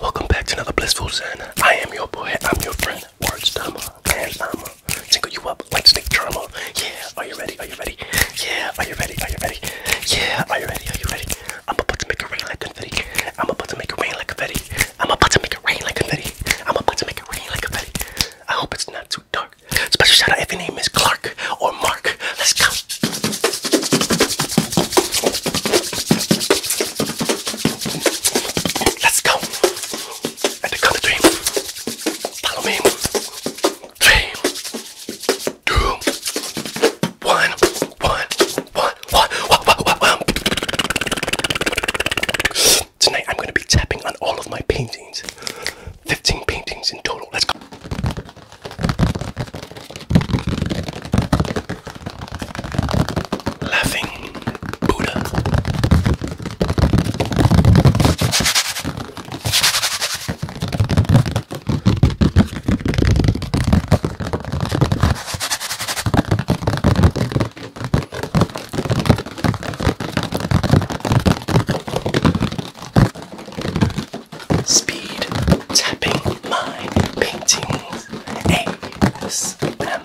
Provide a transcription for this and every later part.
Welcome back to another blissful zen. I am your boy, I'm your friend, Words Dama, and I'ma tinkle you up like snake charmer. Yeah, are you ready? Are you ready? Yeah, are you ready? Are you ready? Yeah, are you ready? Are you ready? I'm about to make it rain like confetti. I'm about to make it rain like confetti. I'm about to make it rain like confetti. I'm about to make it rain like confetti. I hope it's not too dark. Special shout out if your name is Clark or Mark. Let's go. Let's go. At the count of Follow me. Three. Two one, one, one, one, one, one, one. Tonight I'm going to be tapping on all of my paintings. 15 paintings in total. Let's go. Laughing Buddha. Speed tapping my paintings. ASMR.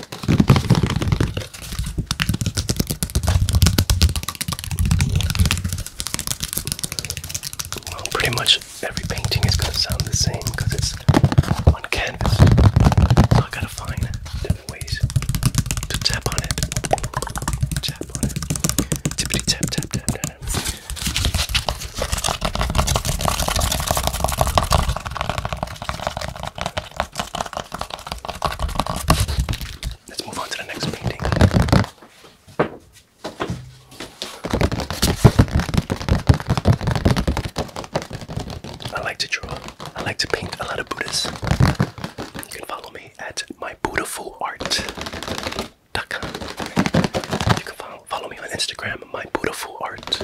Well, pretty much every painting is going to sound the same because it's on canvas. I gotta find different ways to tap on it. Tap on it. Tippity tap tap tap. tap. Let's move on to the next painting. I like to draw. I like to paint a lot of Buddhas. You can follow me at my beautiful art. You can follow, follow me on Instagram program, My Beautiful Art.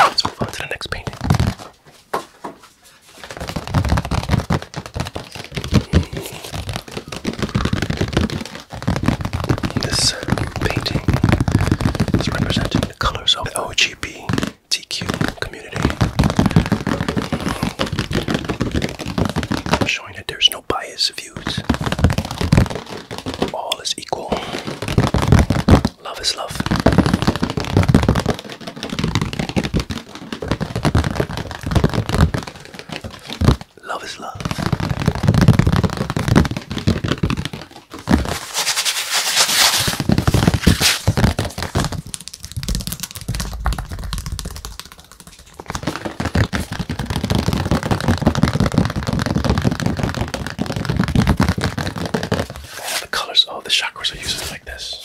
Let's move on to the next painting. This painting is represented the colors of the LGBTQ community, showing that there's no bias views. All is equal. Love is love. Love is love. All the colors of the chakras are used like this.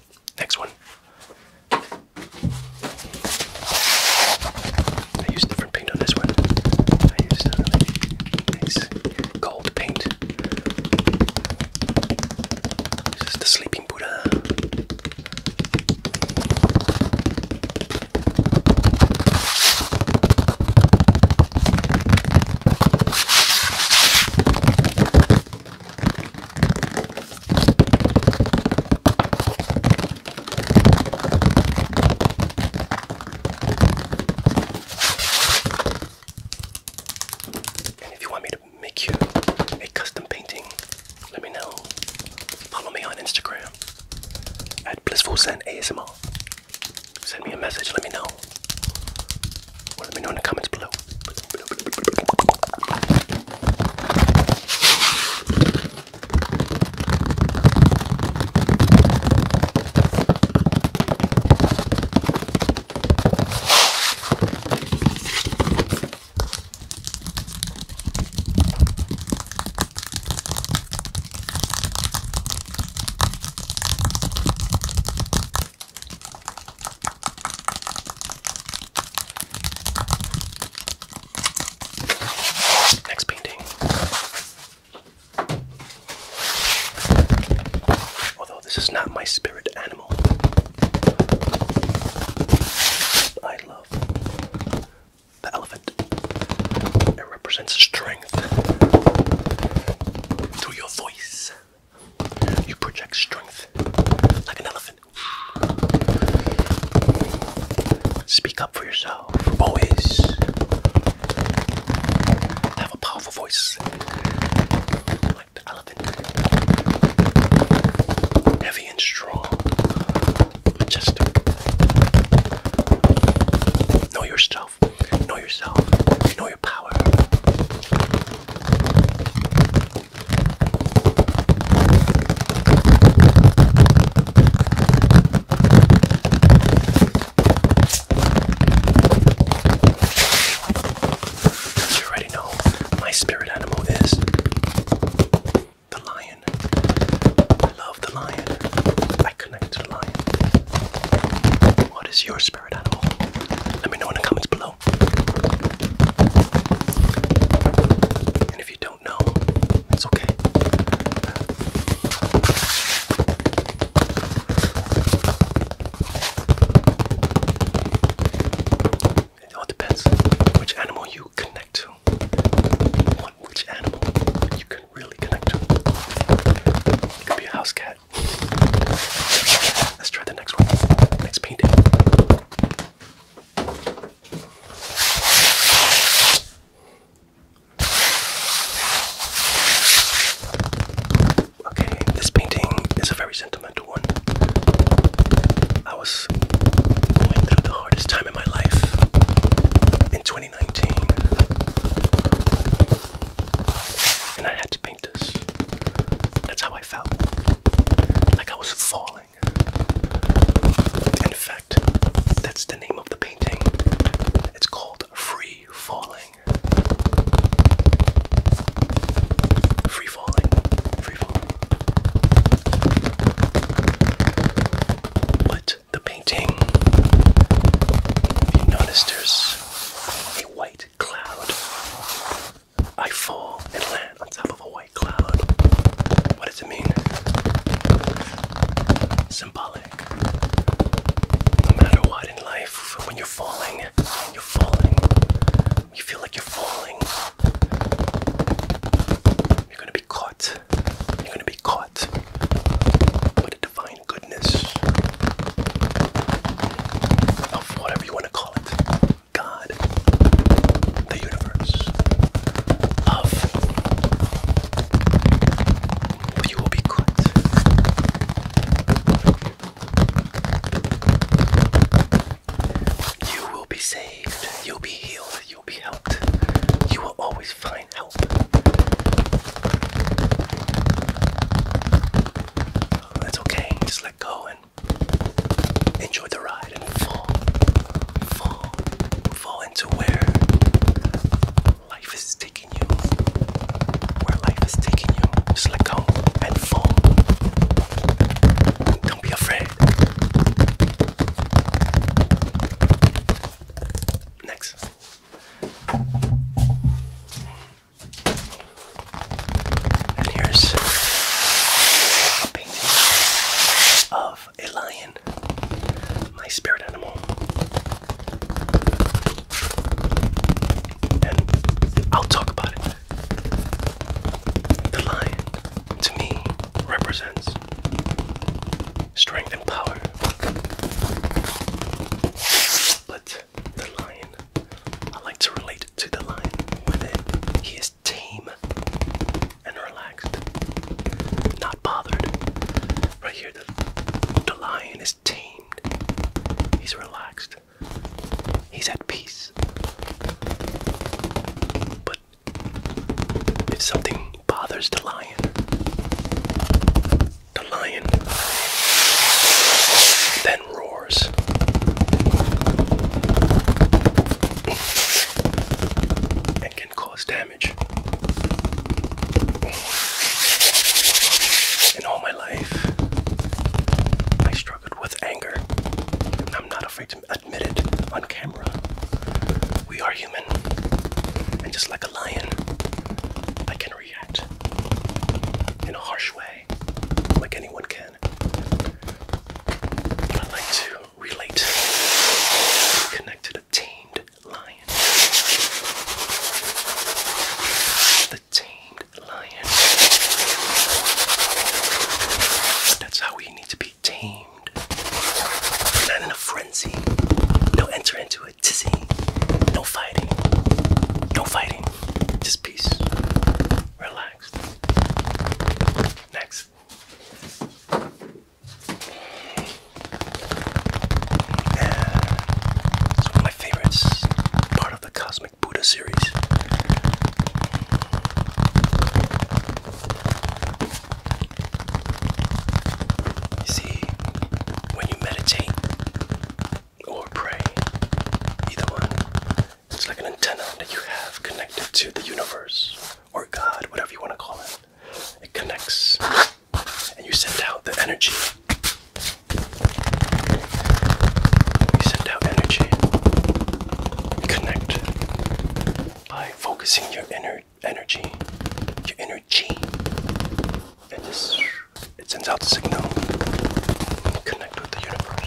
Next one. I used different paint on this one. I used uh, gold paint. This the Sleeping Buddha. And if you want me to make you a custom painting, let me know. Follow me on Instagram at blissful ASMR. Send me a message, let me know let me know in the comments below. Next painting. Although this is not my spirit animal, I love the elephant. It represents strength through your voice. You project strength like an elephant. Speak up for yourself. Always have a powerful voice like the elephant. Heavy and strong. Majestic. Know yourself. Know yourself. Know your power. You already know my spirit animal is the lion. I love the lion. I connect to the lion. What is your spirit animal? Let me know in the comments below. And if you don't know, it's okay. It all depends which animal you connect to. which animal you can really connect to. It could be a house cat. Let's try the next one. Let's Okay, this painting is a very sentimental one. I was going through the hardest time in my life in 2019. And I had to paint this. That's how I felt. Like I was falling. In fact, that's the name of the painting. It's called Free Falling. Free Falling. Free Falling. But the painting, you notice there's a white cloud I fall and land on top of a white cloud. What does it mean? Symbolic. No matter what in life, when you're falling, you're falling. You feel like you're falling. You're gonna be caught. You're gonna be caught. But a divine goodness of whatever you want to call it God, the universe, of you will be good. You will be saved. You'll be healed. You'll be helped. You will always find help. That's okay. Just let go and Enjoy the ride and fall, fall, fall into where life is taking you. Where life is taking you. Just let go and fall. Don't be afraid. Next. And here's a painting of a lion, my spirit animal. And I'll talk about it. The lion, to me, represents strength and power. But the lion, I like to relate to the lion, with it. He is tame and relaxed, not bothered. Right here, the, the lion is tamed. He's relaxed. He's at peace. But if something bothers the lion, the lion then roars. And can cause damage. And all my life, I struggled with anger. And I'm not afraid to admit it on camera. We are human. And just like a lion, I can react in a harsh way, like anyone can. I like to relate, connect to the tamed lion. The tamed lion. That's how we need to be tamed. Not in a frenzy. No enter into a tizzy. No fighting. No fighting. Just peace. Relax next. it's one of my favorites, part of the Cosmic Buddha series. You see, when you meditate or pray, either one, it's like an antenna that you have connected to the universe or God, whatever you want to call it. It connects and you send out the energy. You send out energy. connect by focusing your inner energy, your inner G. And it sends out the signal. connect connect with the universe.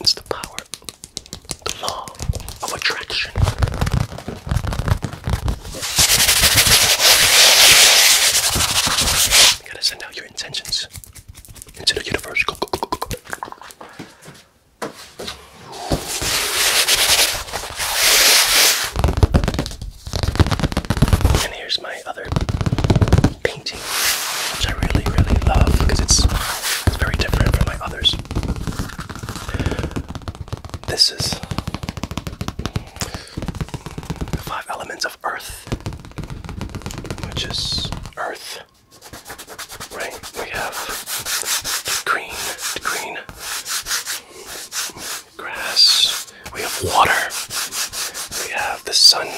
It's the power the law of attraction. You gotta send out your intentions into the universe. And here's my other painting, which I really, really love because it's, it's very different from my others. This is the five elements of earth, which is earth. Right, we have green, green, grass, we have water, we have the sun,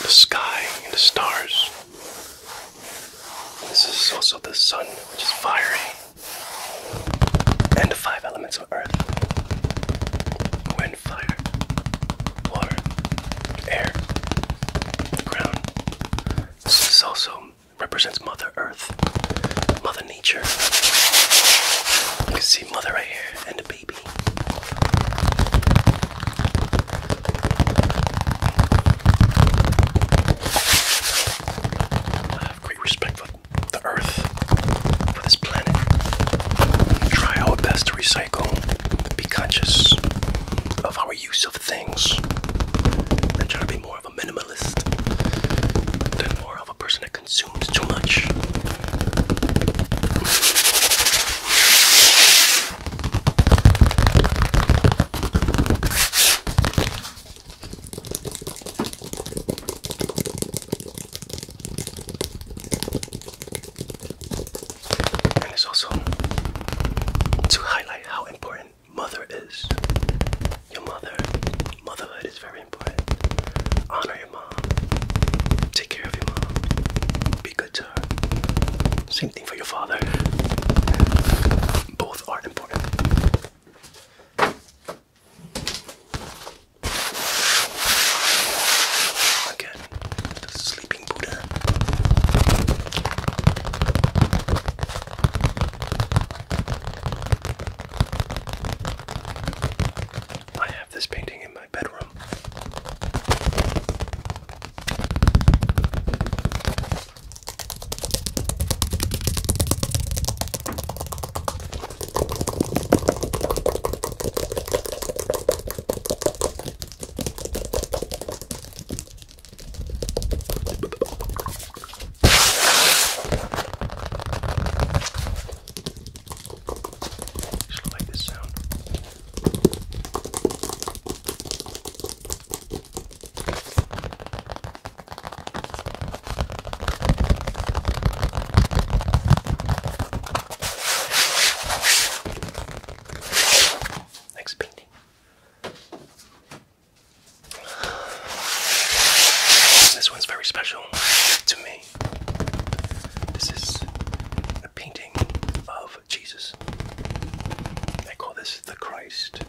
the sky and the stars. This is also the sun, which is fiery, and the five elements of earth wind, fire, water, air, ground. This also represents Mother Earth, Mother Nature. You can see Mother right here and a baby. I have great respect for the earth, for this planet. Try our best to recycle, be conscious of our use of things, and try to be more of a minimalist than more of a person that consumes too much. And it's also to highlight how important mother is. Your mother, motherhood is very important. Honor your mom. Take care of your mom. Be uh, same thing for your father. Both are important. Again, the sleeping Buddha. I have this painting in my bedroom. I like this sound. Next painting. This one's very special to me. This is a painting of Jesus. They call this the Christ,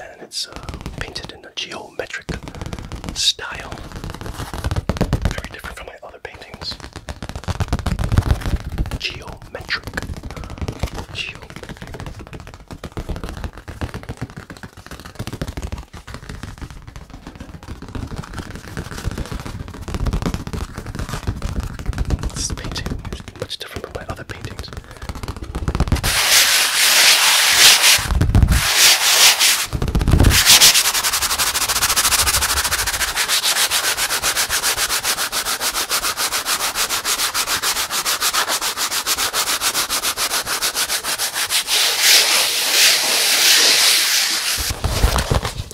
and it's uh, painted in a geometric style, very different from my other paintings. geometric. This painting much different from my other paintings.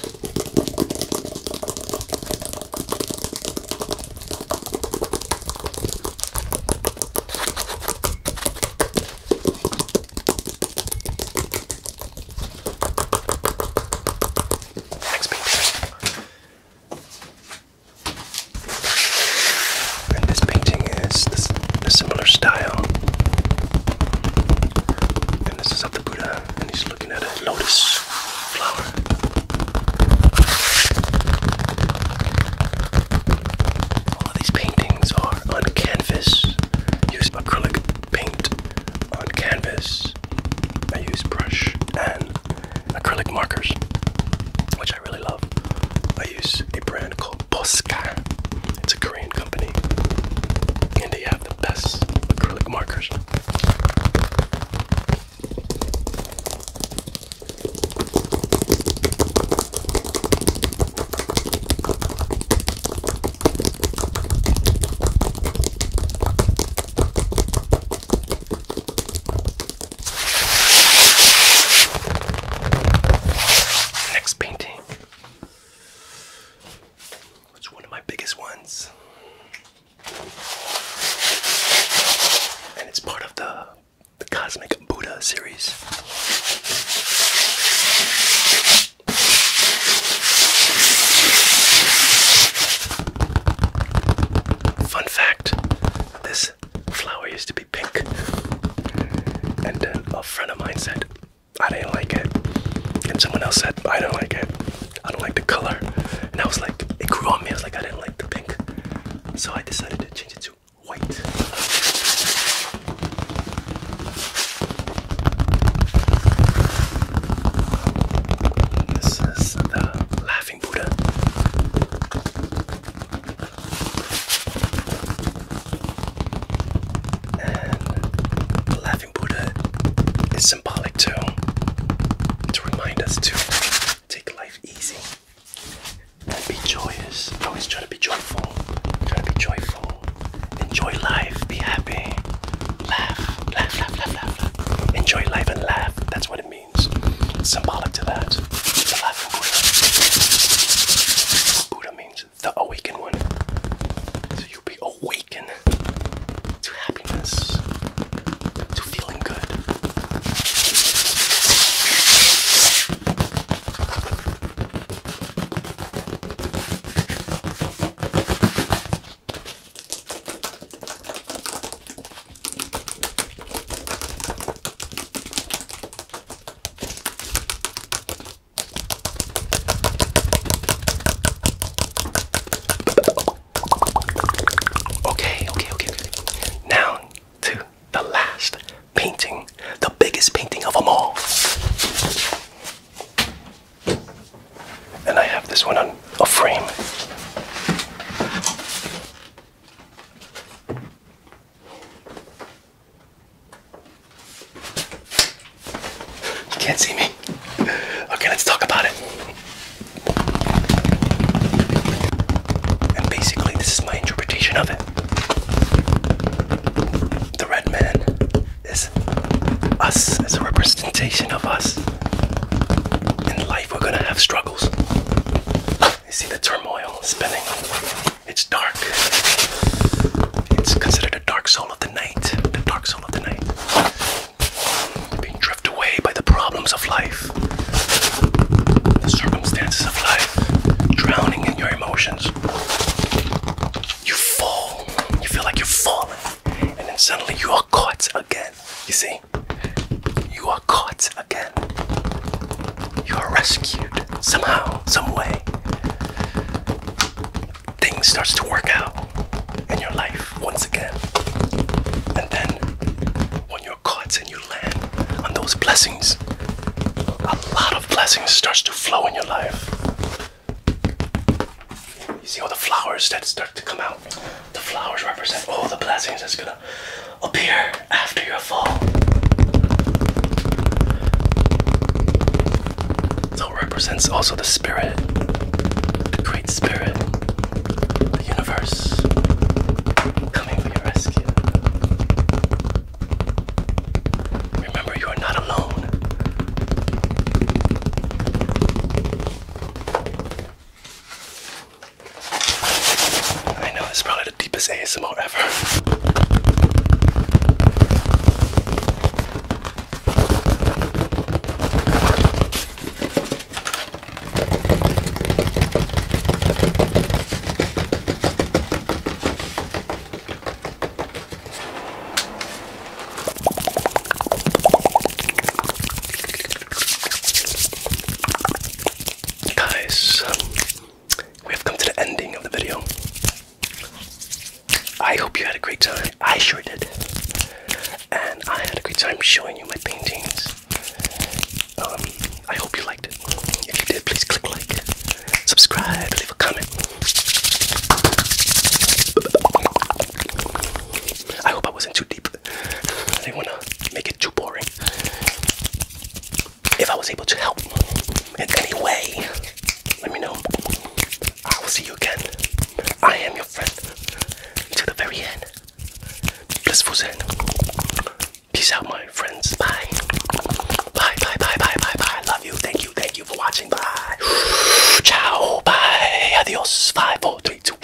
Next painting. And this painting is the similar style. And this is of the Buddha, and he's looking at a lotus flower. All these paintings are on canvas. Use acrylic paint on canvas. I use brush and acrylic markers, which I really love. I use a brand called Posca. It's a Korean company, and they have the best acrylic markers. Next painting. It's one of my biggest ones. And it's part of the, the Cosmic Buddha series. Fun fact this flower used to be pink. And a friend of mine said, I didn't like it. And someone else said, I don't like it. I don't like the color. And I was like, it grew on me. I was like, I didn't like the pink. So I decided to change it to white. This is the Laughing Buddha. And Laughing Buddha is symbolic to to remind us to take life easy and be joyous. Always try to be joyful. Try to be joyful. Enjoy life. Be happy. Laugh. Laugh. Laugh. Laugh. Laugh. Enjoy life and laugh. That's what it means. symbolic to that. The Buddha. Buddha means the awakened one. So you'll be awakened to happiness, to feeling good. Okay, okay, okay, Now to the last painting, the biggest painting of them all. And I have this one on a frame. You can't see me. Okay. let's talk about it. And basically, this is my interpretation of it. The red man is us, as a representation of us. In life, we're gonna have struggles. You see the turmoil spinning. It's dark. It's considered a dark soul of the night. The dark soul of the night being drifted away by the problems of life, the circumstances of life, drowning in your emotions. You fall, you feel like you're falling, and then suddenly you are caught again. You see, you are caught again. You are rescued somehow, some way. Things starts to work out in your life once again. And then when you're caught and you land on those blessings, a lot of blessings starts to flow in your life. You see all the flowers that start to come out. The flowers represent all the blessings that's gonna appear after your fall. That represents also the spirit, the great spirit. The universe coming for your rescue. Remember, you are not alone. I know it's probably the deepest ASMR ever. Guys, um, we have come to the ending of the video. I hope you had a great time. I sure did. And I had a great time showing you my paintings. Um, I hope you liked it. If you did, please click like, subscribe, leave a comment. I hope I wasn't too deep. I didn't want to make it too boring. If I was able to help in any way, let me know. I will see you again. I am your friend until the very end blissful Zen. Peace out, my friends. Bye. Bye, bye, bye, bye, bye, bye. Love you. Thank you. Thank you for watching. Bye. Ciao. Bye. Adios. Five, four, three, two.